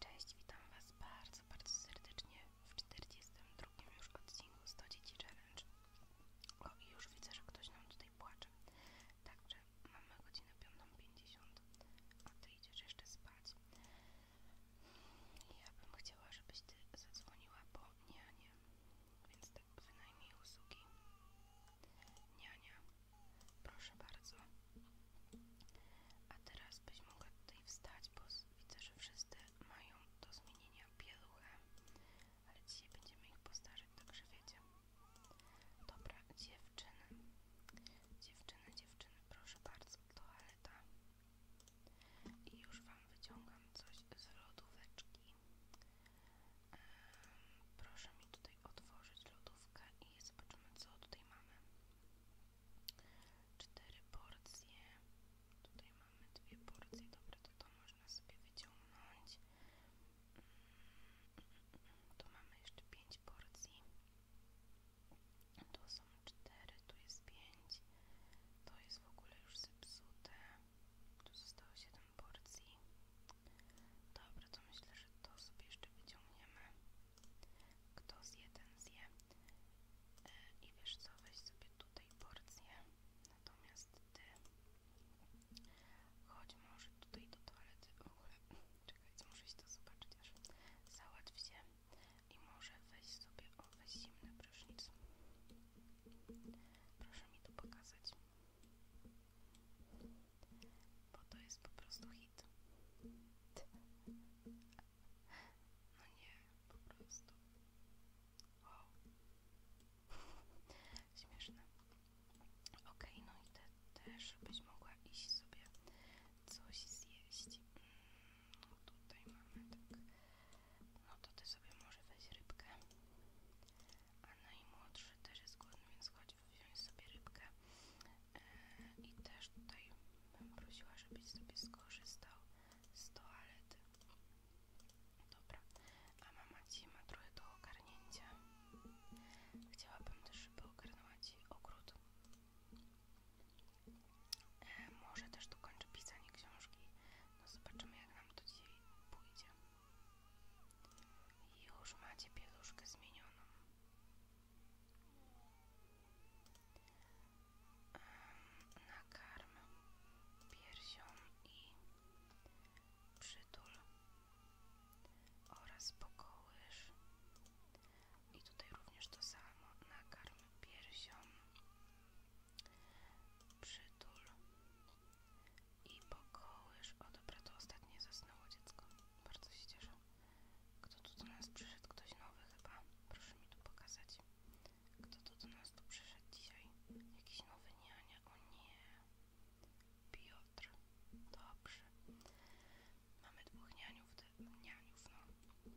Cześć, witam Was bardzo, bardzo serdecznie w 42 już odcinku 100 dzieci challenge. O i już widzę, że ktoś nam tutaj płacze. Także mamy godzinę 5.50, a Ty idziesz jeszcze spać. Ja bym chciała, żebyś Ty zadzwoniła po nianie, więc tak wynajmij usługi Niania, proszę bardzo. A teraz byś mogła tutaj wstać, bo widzę, że wszyscy mają do zmienienia pieluchę. Ale dzisiaj będziemy ich postarzać, także wiecie. Dobra, dziewczyny. Dziewczyny, dziewczyny, proszę bardzo, toaleta. I już Wam wyciągam coś z lodóweczki. Ehm, proszę mi tutaj otworzyć lodówkę i zobaczymy co tutaj mamy. Cztery porcje. Tutaj mamy dwie porcje. Dobra, to to można sobie wyciągnąć. Mm, tu mamy jeszcze pięć porcji. Tu są cztery, tu jest pięć. To jest w ogóle już zepsute. Tu zostało siedem porcji. Dobra, to myślę, że to sobie jeszcze wyciągniemy. Kto zje, ten zje. I wiesz co, weź sobie tutaj porcję. Natomiast ty chodź może tutaj do toalety. W ogóle, czekaj, co muszę to zobaczyć aż. Załatw się i może weź sobie, o, weź zimny prysznic. Proszę mi to pokazać. Bo to jest po prostu hit. No nie, po prostu. Wow. Śmieszne. Ok, no i te, też byś mogła iść sobie coś zjeść. Mm, no tutaj mamy tak. No to ty sobie może weź rybkę. A najmłodszy że też jest głodny, więc chodź wziąć sobie rybkę e, i też tutaj bym prosiła, żebyś sobie skorzystał z toalety. Dobra, a mama Ci ma trochę do ogarnięcia. Chciałabym też, żeby ogarnęła Ci ogród. E, może też tu dokończę pisanie książki. No zobaczymy, jak nam to dzisiaj pójdzie. i Już macie pieluszkę zmienioną nakarm piersią i przytul oraz pokołyż. i tutaj również to samo nakarm piersią przytul i pokołyż. o dobra to ostatnie zasnęło dziecko bardzo się cieszę kto tu do nas przyszedł? Ktoś nowy chyba. Proszę mi tu pokazać. Kto tu do nas tu przyszedł dzisiaj? Jakiś nowy niania? O nie. Piotr. Dobrze. Mamy dwóch nianiów, nianiów no.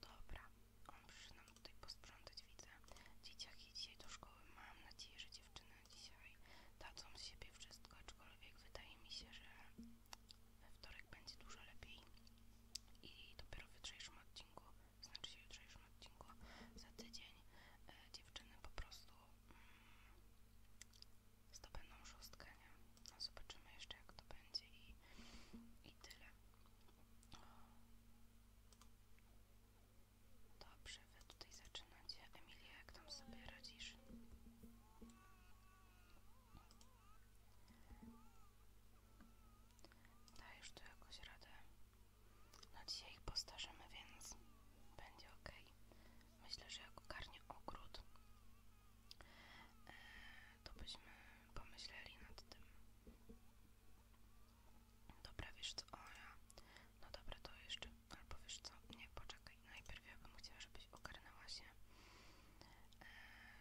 Dobra. On przyszedł nam tutaj posprzątać, widzę. Dzieciaki dzisiaj do szkoły. Mam nadzieję, że dziewczyny dzisiaj. Dadzą z siebie wszystko, aczkolwiek wydaje mi się, że we wtorek będzie dużo lepiej i dopiero w jutrzejszym odcinku, znaczy się jutrzejszym odcinku, za tydzień e, dziewczyny po prostu mm, zdobędą szóstka nie? No zobaczymy jeszcze jak to będzie i, i tyle. Dobrze, wy tutaj zaczynacie. Emilia, jak tam sobie radzisz? Dajesz tu jakoś radę. No dzisiaj ich postarzemy, więc będzie ok. Myślę, że jak ogarnie ogród, e, to byśmy pomyśleli nad tym. Dobra, wiesz co, o ja no dobra, to jeszcze, albo wiesz co, nie, poczekaj, najpierw ja bym chciała, żebyś ogarnęła się, e,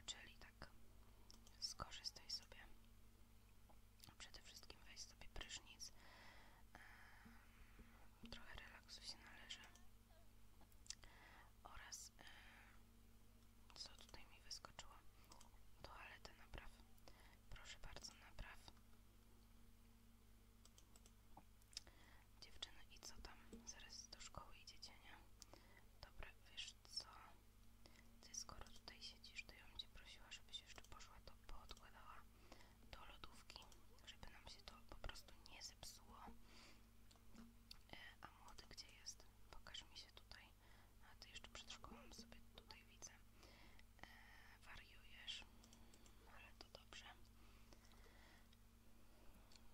czyli tak, skorzystaj sobie, przede wszystkim weź sobie prysznic, trochę relaksu się należy oraz, e, co tutaj mi wyskoczyło, toaletę napraw, proszę bardzo, napraw. Dziewczyna i co tam? Zaraz do szkoły idziecie, nie? Dobre, wiesz co? Ty skoro tutaj siedzisz, to ja bym cię prosiła, żebyś jeszcze poszła to poodkładała do lodówki, żeby nam się to po prostu nie zepsuło. E, a młody gdzie jest? Pokaż mi się tutaj. A ty jeszcze przed szkołą sobie tutaj widzę. E, wariujesz, ale to dobrze.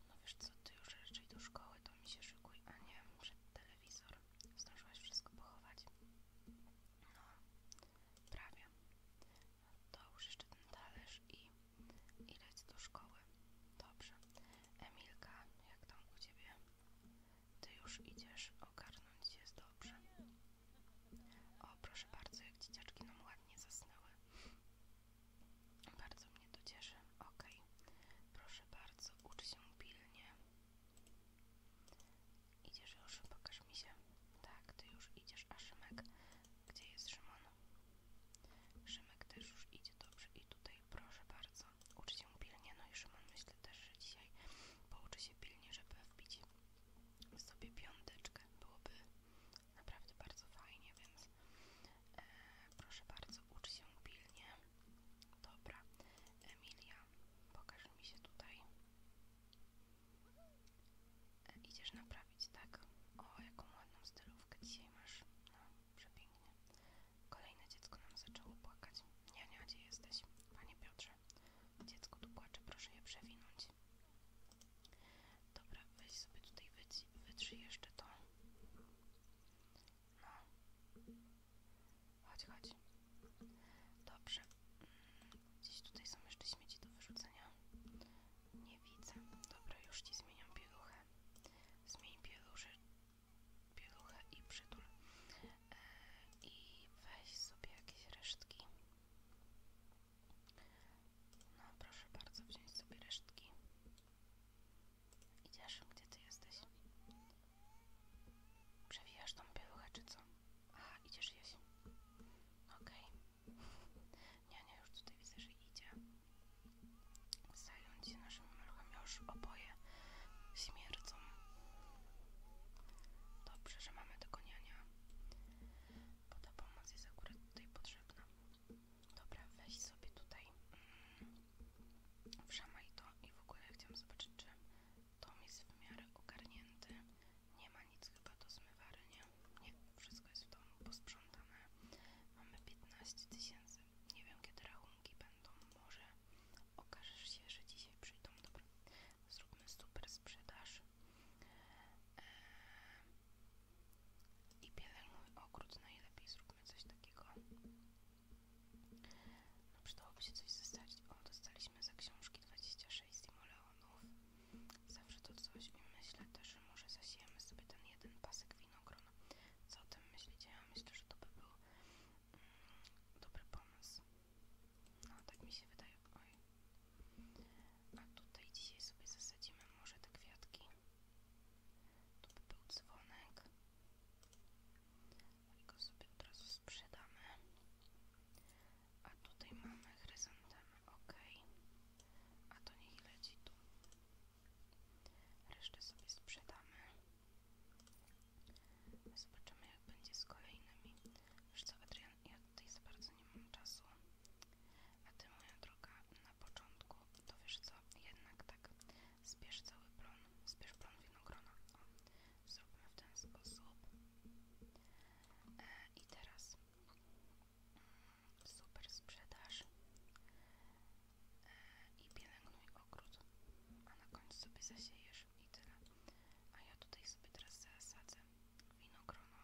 No wiesz co, ty już raczej do szkoły to mi się szykuje a nie przed telewizor. Zdążyłaś wszystko pochować? No, prawie. To już jeszcze ten talerz i, i lec do szkoły. Dobrze. Emilka, jak tam u ciebie? Ty już idziesz ogarnąć jest dobrze. O, proszę bardzo, jak dzieciaczki nam ładnie zasnęły. Bardzo mnie to cieszy. Ok, proszę bardzo, ucz się pilnie. Idziesz już, pokaż mi się. Tak, ty już idziesz, a Szymek, gdzie jest Szymon? Szymek też już idzie dobrze i tutaj proszę bardzo, ucz się pilnie. No i Szymon myślę też, że dzisiaj pouczy się pilnie, żeby wbić sobie piąteczkę. Byłoby naprawdę bardzo fajnie, więc e, proszę bardzo, ucz się pilnie. Dobra, Emilia, pokaż mi się tutaj. E, idziesz naprawić, tak? O, jaką ładną stylówkę dzisiaj masz. No, przepięknie. Kolejne dziecko nam zaczęło płakać. Nie, nie, gdzie jesteś? Panie Piotrze, dziecko tu płacze, proszę je przewinąć. Dobra, weź sobie tutaj wytrzyj jeszcze to. No. Chodź, chodź. Dobrze. Mm, gdzieś tutaj są jeszcze śmieci do wyrzucenia. Nie widzę. Dobra, już ci zmieniam pieluchę. Zmień pieluchę, pieluchę i przytul. E, I weź sobie jakieś resztki. No proszę bardzo, wziąć sobie resztki. Idziesz? Gdzie ty jesteś? Przewijasz tą pieluchę co? Aha, idziesz jeść. Okej. Okay. Niania już tutaj widzę, że idzie. Zająć się naszymi maluchami już oboje śmierdzą. Dobrze, że mamy tego niania. Bo ta pomoc jest akurat tutaj potrzebna. Dobra, weź sobie tutaj mm, wszamaj to i w ogóle chciałam zobaczyć, czy tom jest w miarę ogarnięty. Nie ma nic chyba do zmywania, Nie, wszystko jest w domu posprzątane. Mamy 15 tysięcy. Nie wiem, kiedy rachunki będą. Może okaże się, że dzisiaj przyjdą. Dobra, zróbmy super sprzedaż i pielęgnuj ogród, najlepiej no zróbmy coś takiego. No przydałoby się coś zostać. O, dostaliśmy za książki 26 simoleonów. Zawsze to coś i myślę też, że może zasiejemy sobie ten jeden pasek winogron. Co o tym myślicie? Ja myślę, że to by był mm, dobry pomysł. No, tak mi się wydaje. A tutaj dzisiaj sobie zasadzimy może te kwiatki. Tu by był dzwonek. No I go sobie od razu sprzedamy. A tutaj mamy chryzantemy, ok. A to niech idzie tu. Reszta sobie sprzedamy. Zobaczymy jak będzie z kolejnymi. Wiesz co, Adrian, ja tutaj za bardzo nie mam czasu. A ty, moja droga, na początku, to wiesz co, jednak tak, zbierz cały plon, zbierz plon winogrona. O, zróbmy w ten sposób. E, I teraz mm, super sprzedaż. E, I pielęgnuj ogród, a na końcu sobie zasiejesz i tyle. A ja tutaj sobie teraz zasadzę winogrono.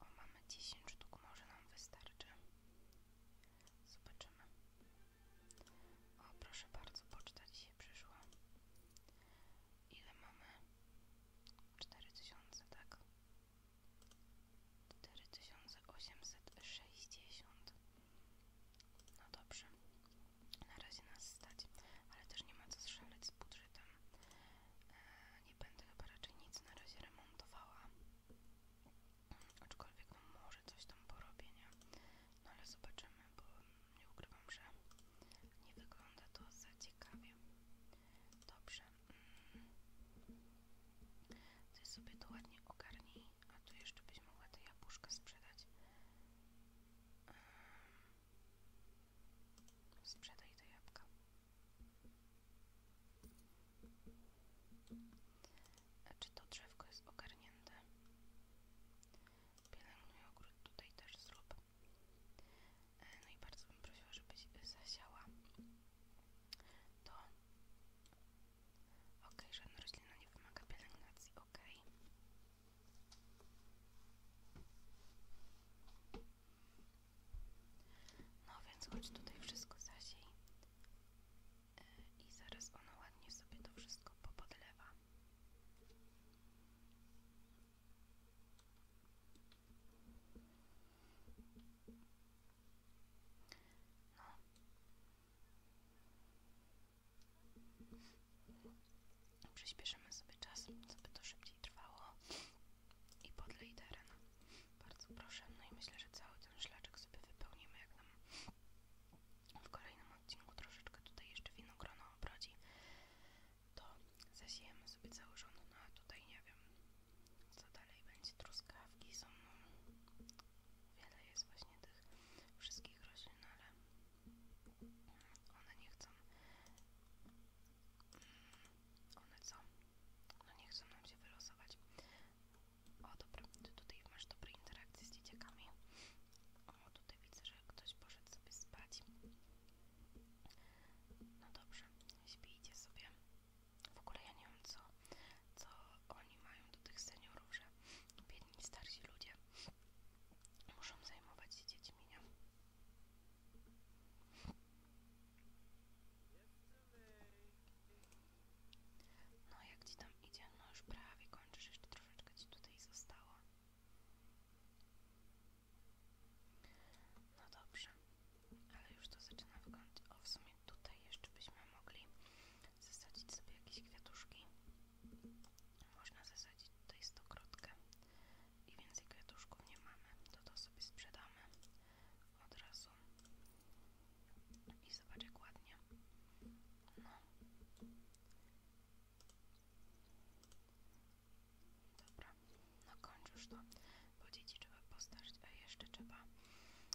O, mamy 10 sztuk, może nam wystarczy. Zobaczymy. O, proszę bardzo, poczta dzisiaj przyszła. Ile mamy? 4000, tak? 4860. No dobrze. Na razie nas stać, ale też nie ma co szaleć z budżetem nie będę chyba raczej nic na razie remontowała, aczkolwiek no, może coś tam porobię, nie? No ale zobaczymy, bo nie ukrywam, że nie wygląda to za ciekawie. Dobrze. Mm. Ty sobie to ładnie ogarnij, a tu jeszcze byś mogła tę jabłuszka sprzedać. Sprzedaj te jabłka. Czy to drzewko jest ogarnięte? Pielęgnuj ogród tutaj też zrób. E, no i bardzo bym prosiła, żebyś zasiała to. ok okay, żadna roślina nie wymaga pielęgnacji, ok no więc choć tutaj wszystko zasiej e, i zaraz ono ładnie sobie to wszystko popodlewa. No. Przyspieszymy sobie czas, żeby to szybciej trwało i podlej teren. Bardzo proszę. No i myślę, że cały ten szlaczek sobie wypełnimy, jak nam w kolejnym odcinku troszeczkę tutaj jeszcze winogrono obrodzi, to zasiejemy sobie cały rząd. No a tutaj nie wiem, co dalej będzie. Truskawki są, no, wiele jest właśnie tych wszystkich roślin, ale one nie chcą. Mm, one co? No nie chcą nam się wylosować. O dobre, ty tutaj masz dobre interakcje z dzieciakami. O, tutaj widzę, że ktoś poszedł sobie spać. No dobrze, śpijcie sobie. W ogóle ja nie wiem co, co oni mają do tych seniorów, że biedni starsi ludzie muszą zajmować się dziećmi, nie? No jak ci tam idzie? No już prawie kończysz, jeszcze troszeczkę ci tutaj zostało. No dobrze, ale już to zaczyna wyglądać. O, w sumie tutaj jeszcze byśmy mogli zasadzić sobie jakieś kwiatuszki. Można zasadzić tutaj stokrotka i więcej kwiatuszków nie mamy, to to sobie sprzedamy od razu i zobacz jak ładnie no dobra, na końcu już to bo trzeba postarzyć, a jeszcze trzeba jeszcze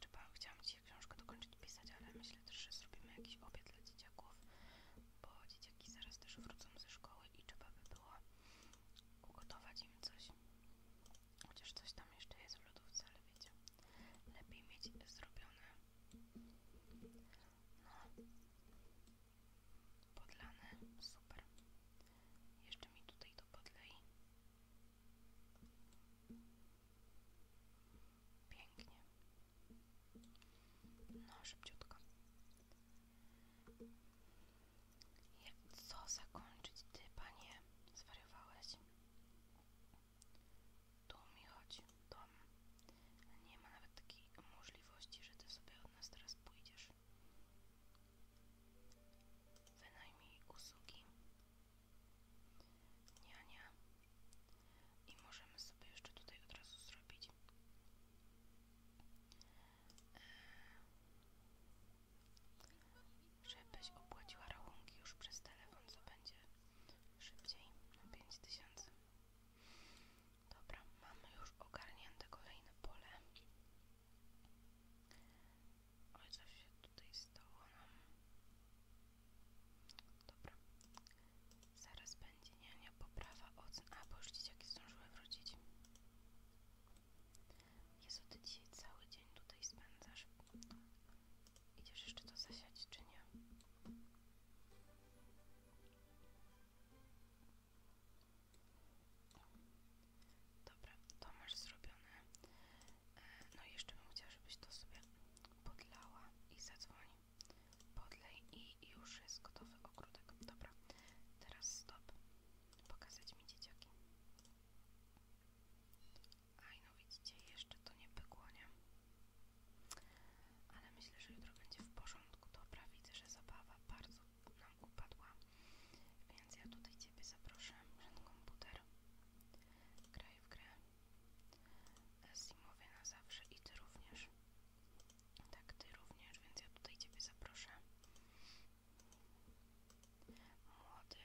trzeba, chciałam dzisiaj książkę dokończyć pisać, ale myślę że zrobimy jakiś obiad dla dzieciaków, bo dzieciaki zaraz też wrócą ze szkoły i trzeba by było ugotować im coś. Chociaż coś tam jeszcze jest w lodówce, ale wiecie, lepiej mieć zrobione. No. Podlane, super. Jeszcze mi tutaj to podlej. Pięknie. No, szybciutko. Jak co zakończyć ty, panie? Zwariowałeś. Tu mi chodzi, dom. Nie ma nawet takiej możliwości, że ty sobie od nas teraz pójdziesz. Wynajmij usługi. nie i możemy sobie jeszcze tutaj od razu zrobić e, żebyś opłaciła rachunki już przez telefon, co będzie szybciej na 5000 dobra, mamy już ogarnięte kolejne pole oj, co się tutaj stało Dobra. Zaraz będzie niania poprawa ocen. A, bo już dzieciaki zdążyły wrócić. Jezu, ty dzisiaj cały dzień tutaj spędzasz. Idziesz jeszcze to zasiać, czy nie? Dobra, to masz zrobione. E, no i jeszcze bym chciała, żebyś to sobie podlała i zadzwonił. Podlej i już jest gotowy ogródek. Dobra, teraz stop. Pokazać mi dzieciaki. Aj, no widzicie, jeszcze to nie pykło, Ale myślę, że jutro będzie w porządku. Dobra, widzę, że zabawa bardzo nam upadła. Więc ja tutaj Ciebie zapraszam przed komputer. Graj w grę. Zimowy na zawsze i ty również. Tak, ty również, więc ja tutaj ciebie zaproszę. Młody.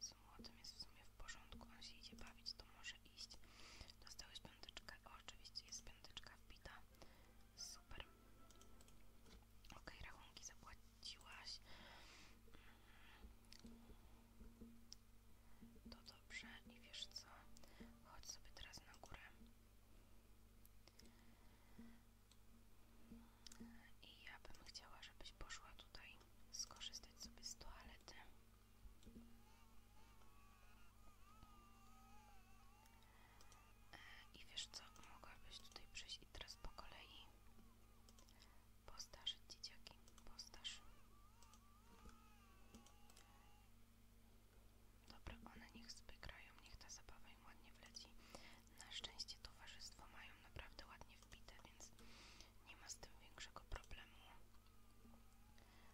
Z młodym jest w sumie w porządku, on się idzie bawić, to może iść. Dostałeś piąteczkę, oczywiście jest piąteczka wbita. Super. Ok, rachunki zapłaciłaś. Mhm. To dobrze i wiesz co? Chodź sobie teraz na górę. I ja bym chciała, żebyś poszła tutaj skorzystać sobie z toalety. E, I wiesz co, mogłabyś tutaj przyjść i teraz po kolei postarzyć dzieciaki, postarz. Dobra, one niech spykrają, niech ta zabawa im ładnie wleci. Na szczęście towarzystwo mają naprawdę ładnie wbite, więc nie ma z tym większego problemu.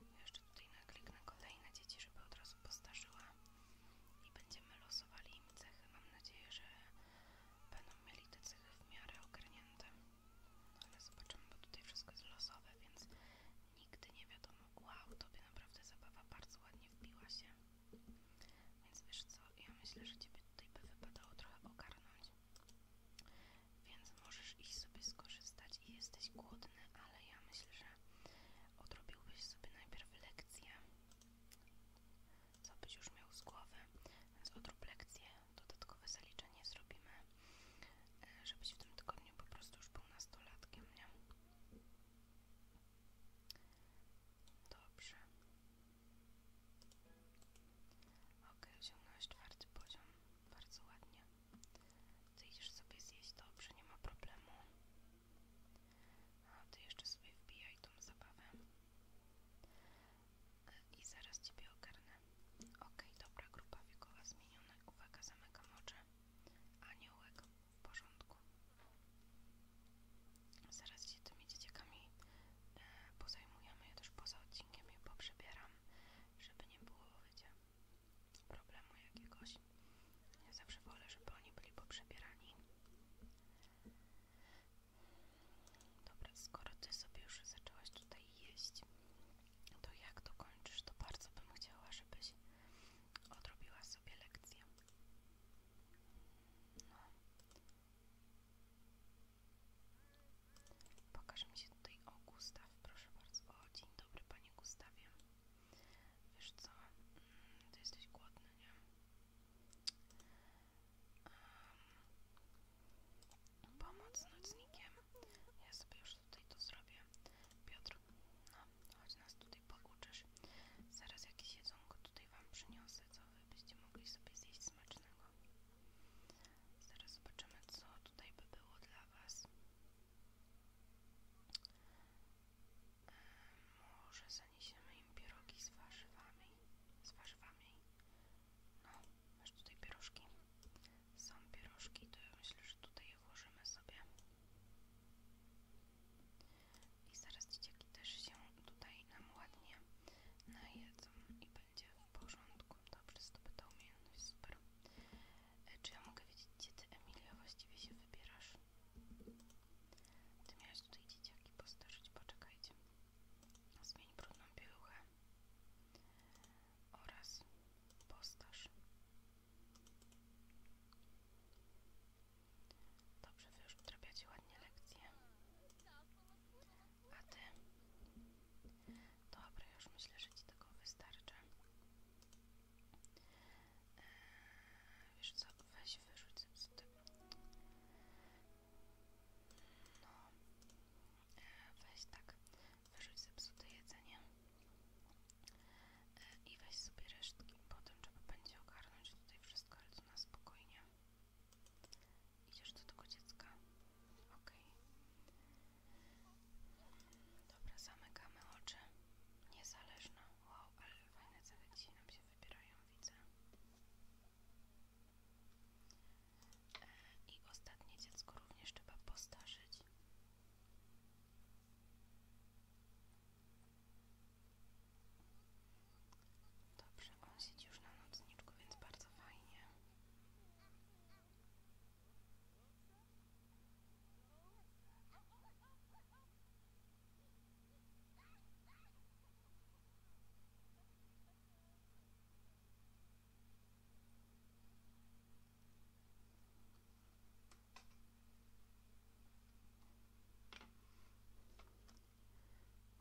Ja jeszcze tutaj nakliknę kolejne dzieci, żeby od razu postarzyła i będziemy losowali im cechy. Mam nadzieję, że będą mieli te cechy w miarę ogarnięte ale zobaczymy, bo tutaj wszystko jest losowe, więc nigdy nie wiadomo. Wow, tobie naprawdę zabawa bardzo ładnie wbiła się. Więc wiesz co, ja myślę, że ciebie tutaj by wypadało trochę ogarnąć. Więc możesz iść sobie skorzystać i jesteś głodny, ale ja myślę, że odrobiłbyś sobie najpierw lekcję, co byś już miał z głowy, więc odrób lekcję, dodatkowe zaliczenie zrobimy, e, żebyś w tym tygodniu po prostu już był nastolatkiem, nie? Dobrze. Ok, osiągnąłeś czwarty poziom. Bardzo ładnie. Ty idziesz sobie zjeść, dobrze, nie ma problemu. A ty jeszcze sobie wbijaj tą zabawę. E, I zaraz ciebie ogarnę. Okej, dobra, grupa wiekowa zmieniona. Uwaga, zamykam oczy. Aniołek, w porządku. Zaraz się tymi dzieciakami e, pozajmujemy. Ja też poza odcinkiem je poprzebieram, żeby nie było, problemu jakiegoś. Ja zawsze wolę, żeby oni byli poprzebierani. Dobra, skoro ty sobie już zaczęłaś tutaj jeść, to jak dokończysz, to bardzo bym chciała, żebyś odrobiła sobie lekcję. No. Pokaż mi się tutaj, o Gustaw, proszę bardzo. dzień dobry Panie Gustawie. Wiesz co, mm, Ty jesteś głodny, nie? Pomoc nocnikiem. Ja sobie już tutaj to zrobię. Piotr, no, choć nas tutaj pouczysz. Zaraz jakieś jedzonko tutaj wam przyniosę, co wy byście mogli sobie zjeść smacznego. Zaraz zobaczymy, co tutaj by było dla was. E, może zaniesiemy im pierogi z warzywami. Z warzywami. No, Masz tutaj pierożki. Są pierożki, to ja myślę, że tutaj je włożymy sobie. I zaraz dzieciaki też się tutaj nam ładnie najedzą i będzie w porządku. Dobrze, zdobyta ta umiejętność, super. E, czy ja mogę wiedzieć, gdzie ty, Emilia, właściwie się wybierasz? Ty miałeś tutaj dzieciaki postarzyć, poczekajcie. Zmień brudną pieluchę oraz postać. Dobrze, wy już odrabiacie ładnie lekcje. A ty? Dobra, już myślę, że ci tego wystarczy. Eee, wiesz co, weź wyrzuć zepsuty. No, eee, weź tak, wyrzuć zepsute jedzenie e, i weź sobie resztki. Potem trzeba będzie ogarnąć tutaj wszystko, ale to na spokojnie. Idziesz do tego dziecka? Okej. Dobra, zamykamy oczy. Niezależna. Wow, ale fajne cele dzisiaj nam się wybierają, widzę. I ostatnie dziecko również trzeba postarzyć. Dobrze, on siedzi już na nocniczku, więc bardzo fajnie.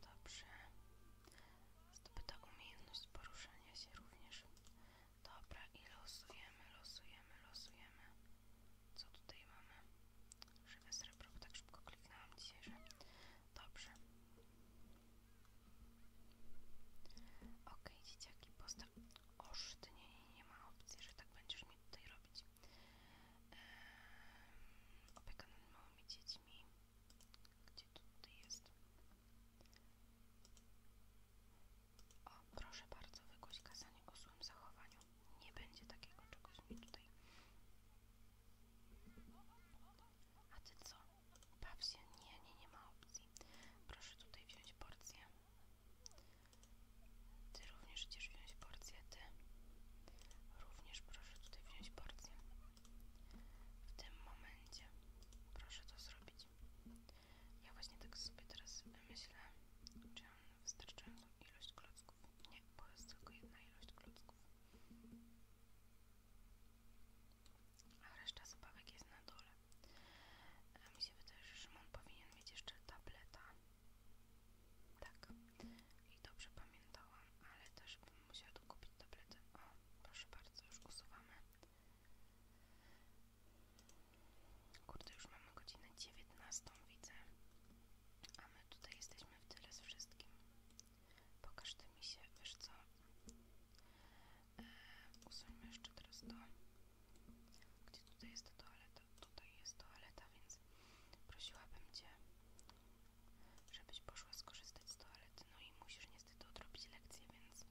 Dobrze. Zdobyta umiejętność poruszania się również. Dobra, i losujemy, losujemy, losujemy. Co tutaj mamy? Żywe srebro, bo tak szybko kliknęłam dzisiaj, że... Dobrze. Okej, dzieciaki, postaw... Oż, ty nie, ma opcji, że tak będziesz mi tutaj robić. Eee, opieka nad małymi dziećmi. Gdzie to tutaj jest? O, proszę bardzo, wygłoś kazanie o złym zachowaniu. Nie będzie takiego czegoś mi tutaj. A ty co? Baw się, nie, nie, ma opcji. Proszę tutaj wziąć porcję. Ty również chcesz wziąć porcję, ty. Również proszę tutaj wziąć porcję. W tym momencie proszę to zrobić. Ja właśnie tak sobie teraz myślę, czy ja mam wystarczającą ilość klocków. Nie, po prostu tylko jedna ilość klocków a reszta zabawek jest na dole. A e, mi się wydaje, że Szymon powinien mieć jeszcze tableta. Tak. I dobrze pamiętałam, ale też bym musiała dokupić tabletę. O, proszę bardzo, już usuwamy. Kurde, już mamy godzinę 19, widzę. A my tutaj jesteśmy w tyle z wszystkim. Pokaż ty mi się, wiesz co? usuńmy e, jeszcze teraz to gdzie tutaj jest ta toaleta tutaj jest toaleta, więc prosiłabym Cię żebyś poszła skorzystać z toalety no i musisz niestety odrobić lekcję, więc e,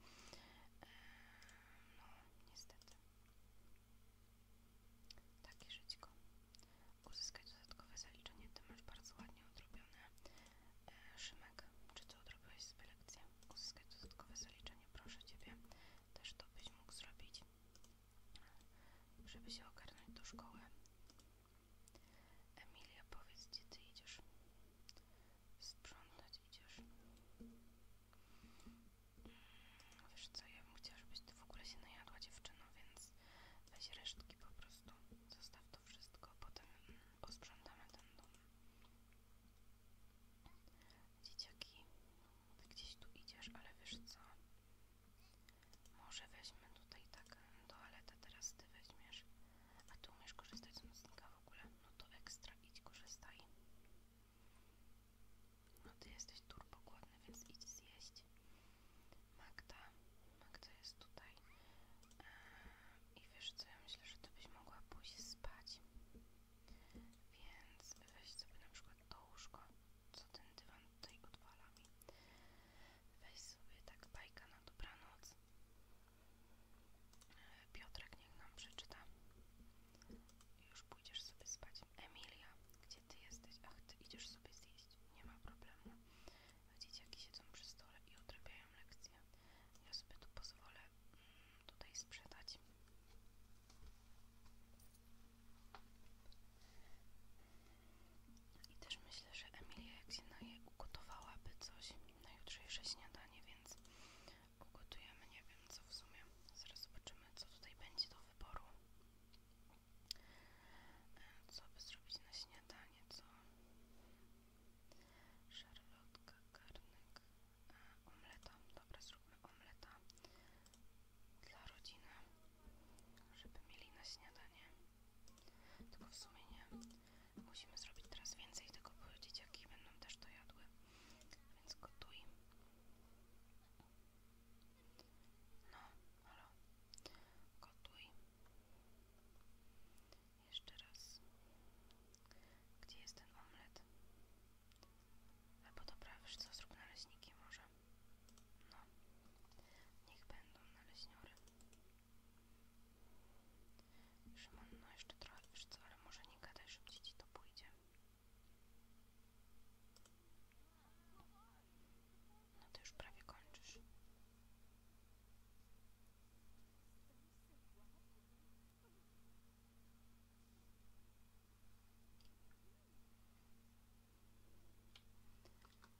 no niestety takie żyćko uzyskać dodatkowe zaliczenie, Ty masz bardzo ładnie odrobione e, Szymek, czy Ty odrobiłeś sobie lekcję? uzyskać dodatkowe zaliczenie, proszę Ciebie, też to byś mógł zrobić, żeby się ogarnąć do szkoły. Emilia, powiedz, gdzie Ty idziesz? Sprzątać idziesz? Mm, wiesz co, ja bym chciała, żebyś Ty w ogóle się najadła dziewczyno, więc weź resztki po prostu, zostaw to wszystko, potem mm, posprzątamy ten dom. Dzieciaki, ty gdzieś tu idziesz, ale wiesz co? Może weźmy tutaj tak toaletę, teraz ty weźmiesz. A ty umiesz korzystać z nocnika w ogóle? No to ekstra, idź korzystaj. No ty jesteś turbokładny, więc idź zjeść. Magda, Magda jest tutaj. Eee, i wiesz co, ja myślę, że ty byś mogła pójść spać. Więc weź sobie na przykład to łóżko, co ten dywan tutaj odwala mi. Weź sobie tak bajka na dobranoc. Piotrek niech nam przeczyta. I już pójdziesz sobie spać. Emilia, gdzie ty jesteś? Ach, ty idziesz sobie zjeść. Nie ma problemu. widzicie Dzieciaki siedzą przy stole i odrabiają lekcje. Ja sobie tu pozwolę mm, tutaj sprzedać. I też myślę, że Emilia jak się naje ugotowałaby coś na jutrzejsze śniadanie, więc ugotujemy, nie wiem co w sumie. Zaraz zobaczymy, co tutaj będzie do wyboru. E, co by zrobić na śniadanie, co... Szarlotka, garnek, e, omleta. Dobra, zróbmy omleta dla rodziny, żeby mieli na śniadanie. Tylko w sumie nie. Musimy zrobić teraz więcej tego, bo dzieciaki będą też to jadły. Więc gotuj. No, halo. Gotuj. Jeszcze raz. Gdzie jest ten omlet? Albo dobra, wiesz co, zrób naleśniki może. No. Niech będą naleśniory. Szymon, no jeszcze trochę, wiesz co, ale może nie gadaj, szybciej ci to pójdzie. No to już prawie kończysz.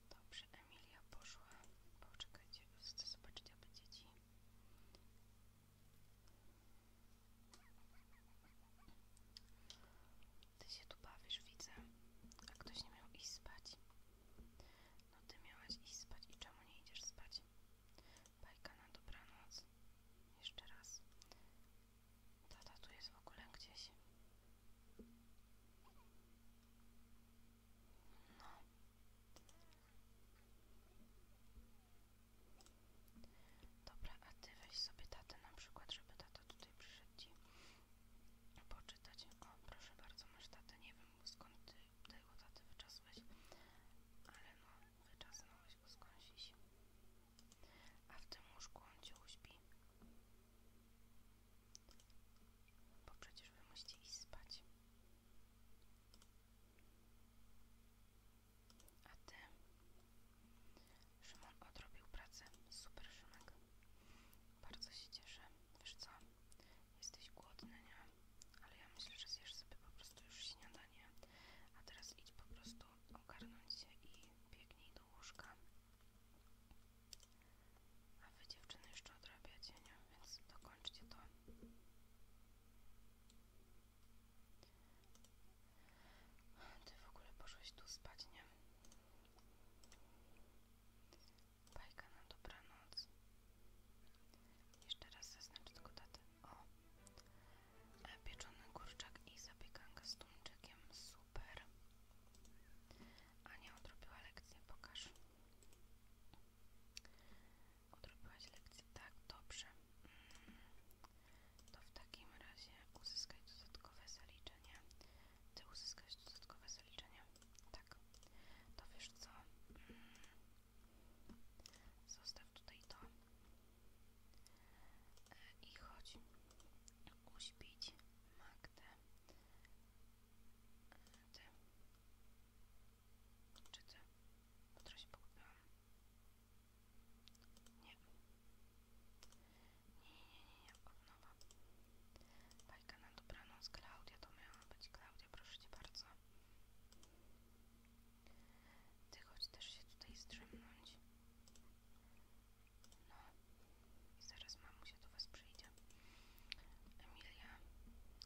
Dobrze, Emilia poszła. Poczekajcie, chcę zobaczyć aby dzieci. Ty się tu bawisz, widzę. A ktoś nie miał iść spać. No ty miałaś iść spać i czemu nie idziesz spać? Bajka na dobranoc. Jeszcze raz. Tata tu jest w ogóle gdzieś. No. Dobra, a ty weź sobie tatę na przykład, żeby tata tutaj przyszedł ci poczytać. O, proszę bardzo, masz tatę, nie wiem skąd ty tego taty wyczasłeś, ale no, wyczasnąłeś go skądś. A w tym łóżku on cię uśpi. Bo przecież wy musicie iść spać. A ty? Szymon odrobił pracę. Super Szymek. Bardzo się cieszę. Wiesz co? Jesteś głodna nie? Ale ja myślę, że zjesz sobie po prostu już śniadanie. A teraz idź po prostu ogarnąć się i biegnij do łóżka. A wy dziewczyny jeszcze odrabiacie, nie? Więc dokończcie to. Ty w ogóle poszłeś tu spać, nie? Bajka na dobranoc. Jeszcze raz zaznaczę tylko datę. O! E, pieczony kurczak i zapiekanka z tuńczykiem. Super! Ania odrobiła lekcję, pokaż. Odrobiłaś lekcję, tak, dobrze. To w takim razie uzyskaj dodatkowe zaliczenie. Ty uzyskasz dodatkowe zaliczenie. Tak. To wiesz co? Mm. Zostaw tutaj to. E, I chodź uśpić Magdę. E, ty. Czy ty? trochę się pogubiłam. E. Nie. Nie, nie, nie, nie, od nowa. Bajka na dobranoc, Klaudia, to miała być Klaudia, proszę cię bardzo. Ty chodź też się tutaj zdrzemnąć. No i zaraz mamusia do was przyjdzie. Emilia,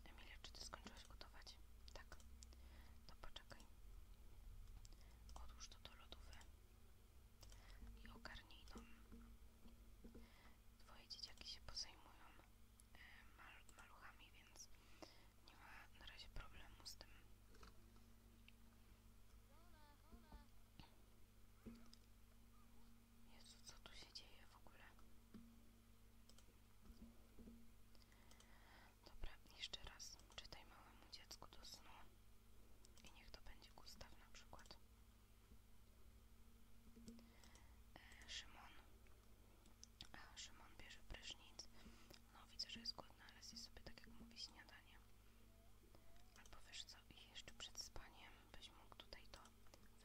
Emilia, czy ty skończyłaś gotować? Tak. To poczekaj. Odłóż to do lodówy i ogarnij dom. Twoje dzieciaki się pozajmują e, maluchami, więc nie ma na razie problemu z tym. Jezu, co tu się dzieje w ogóle? Dobra, jeszcze raz czytaj małemu dziecku do snu i niech to będzie Gustaw na przykład. E, Szymon, a Szymon bierze prysznic. No widzę, że jest głodny, ale zje sobie tak jak mówi śniadanie. Albo wiesz co, i jeszcze przed spaniem byś mógł tutaj to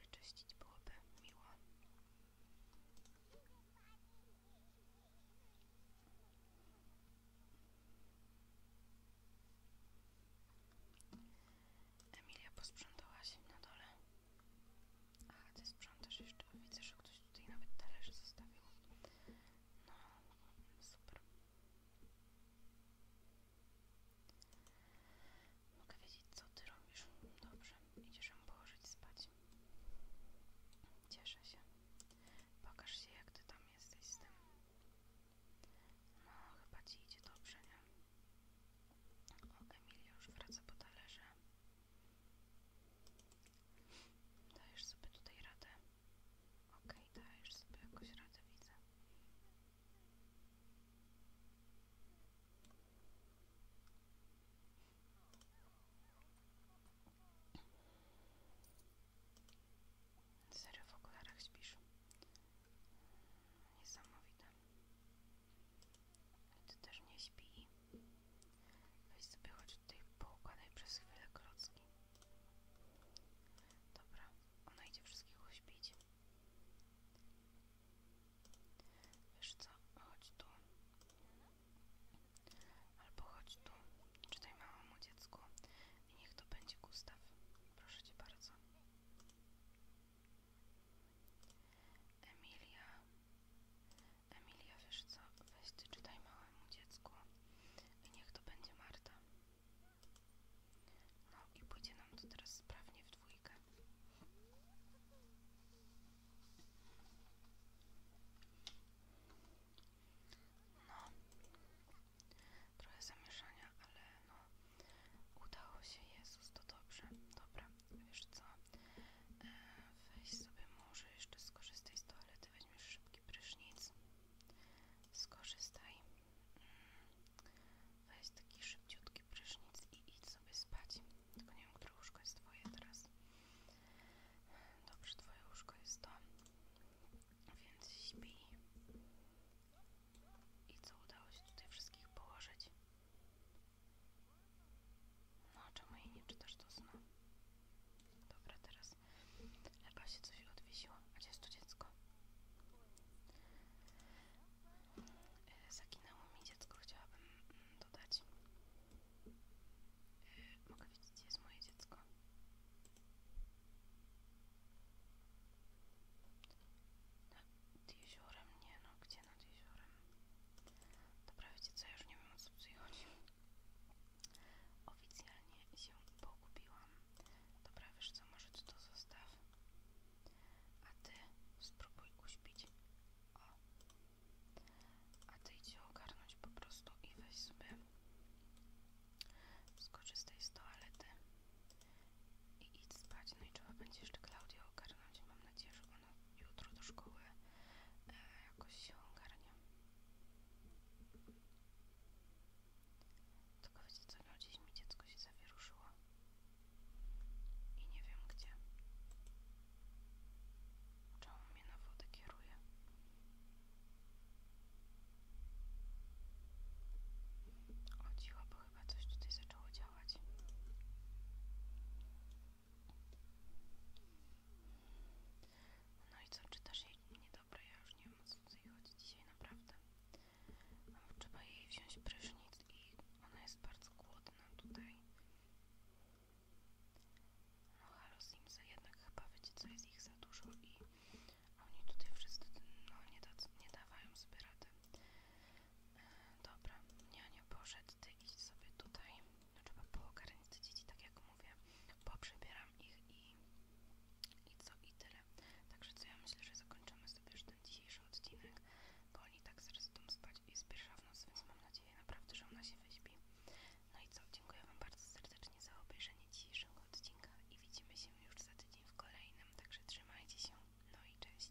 wyczyścić, byłoby miło. Emilia posprzątała się na dole. Aha, ty sprzątasz jeszcze. Widzę, że ktoś tutaj nawet talerze zostawił. No, super. Mogę wiedzieć, co ty robisz. Dobrze, idziesz ją położyć spać. Cieszę się. Pokaż się, jak ty tam jesteś z tym. No, chyba ci idzie dobrze, nie? O, Emilia już wraca po talerze. Dajesz sobie tutaj radę. Okej, okay, dajesz sobie jakoś radę, widzę. Serio w okularach śpisz. Niesamowite. Ty też nie śpi. Weź sobie choć tutaj poukładaj przez chwilę klocki. Dobra, ona idzie wszystkiego śpić. Wiesz co, chodź tu. Albo chodź tu. Czytaj małemu dziecku i niech to będzie Gustaw. Proszę cię bardzo. Emilia, Emilia, wiesz co? Weź ty czytaj małemu dziecku. I niech to będzie Marta. No i pójdzie nam to teraz sprawnie w dwójkę. No. Trochę zamieszania, ale no. Udało się, Jezus, to dobrze. Dobra wiesz co, e, weź sobie może jeszcze skorzystaj z toalety, weźmiesz szybki prysznic, skorzystaj, mm, weź taki szybciutki prysznic i idź sobie spać, tylko nie wiem, które łóżko jest twoje teraz. Dobrze, twoje łóżko jest to, więc śpi. I co udało się tutaj wszystkich położyć? No, czemu jej nie czytasz to snu? Dobra, teraz lepiej się coś odwiesiło. A gdzie jest to dziecko? Yy, mi dziecko, chciałabym mm, dodać. E, mogę widzieć gdzie jest moje dziecko? Nad jeziorem, nie no, gdzie? Wiecie, jeziorem. Dobra, wiecie co, ja już nie wiem o co przychodzi. Oficjalnie się pogubiłam. Dobra, co, może ty to zostaw. A ty spróbuj uśpić. O. A ty idź ogarnąć po prostu i weź sobie skorzystaj z toalety i idź spać. No i trzeba będzie jeszcze Klaudia ogarnąć. Mam nadzieję, że jutro do szkoły e, jakoś się ogarnie. Tylko wiecie co, no mi dziecko się zawieruszyło i nie wiem gdzie. Czemu mnie na wodę kieruje? Chodziło, bo chyba coś tutaj zaczęło działać. No i co, czy też jej? Niedobre, ja już nie mam o co dzisiaj, naprawdę. Trzeba jej wziąć prysznic i ona jest bardzo głodna tutaj. No halo Simsy, jednak chyba wiecie co, jest ich za dużo i oni tutaj wszyscy, no nie, nie dawają sobie rady. Dobra, nie, nie poszedł, ty idź sobie tutaj. No, trzeba poogarnić te dzieci, tak jak mówię. Poprzebieram ich i, i co i tyle. Także co ja myślę, że zakończymy sobie już ten dzisiejszy odcinek, bo oni tak zresztą spać i jest pierwsza w nocy, więc mam nadzieję naprawdę, że ona się wyśpi. No i co, dziękuję Wam bardzo serdecznie za obejrzenie dzisiejszego odcinka i widzimy się już za tydzień w kolejnym, także trzymajcie się, no i cześć.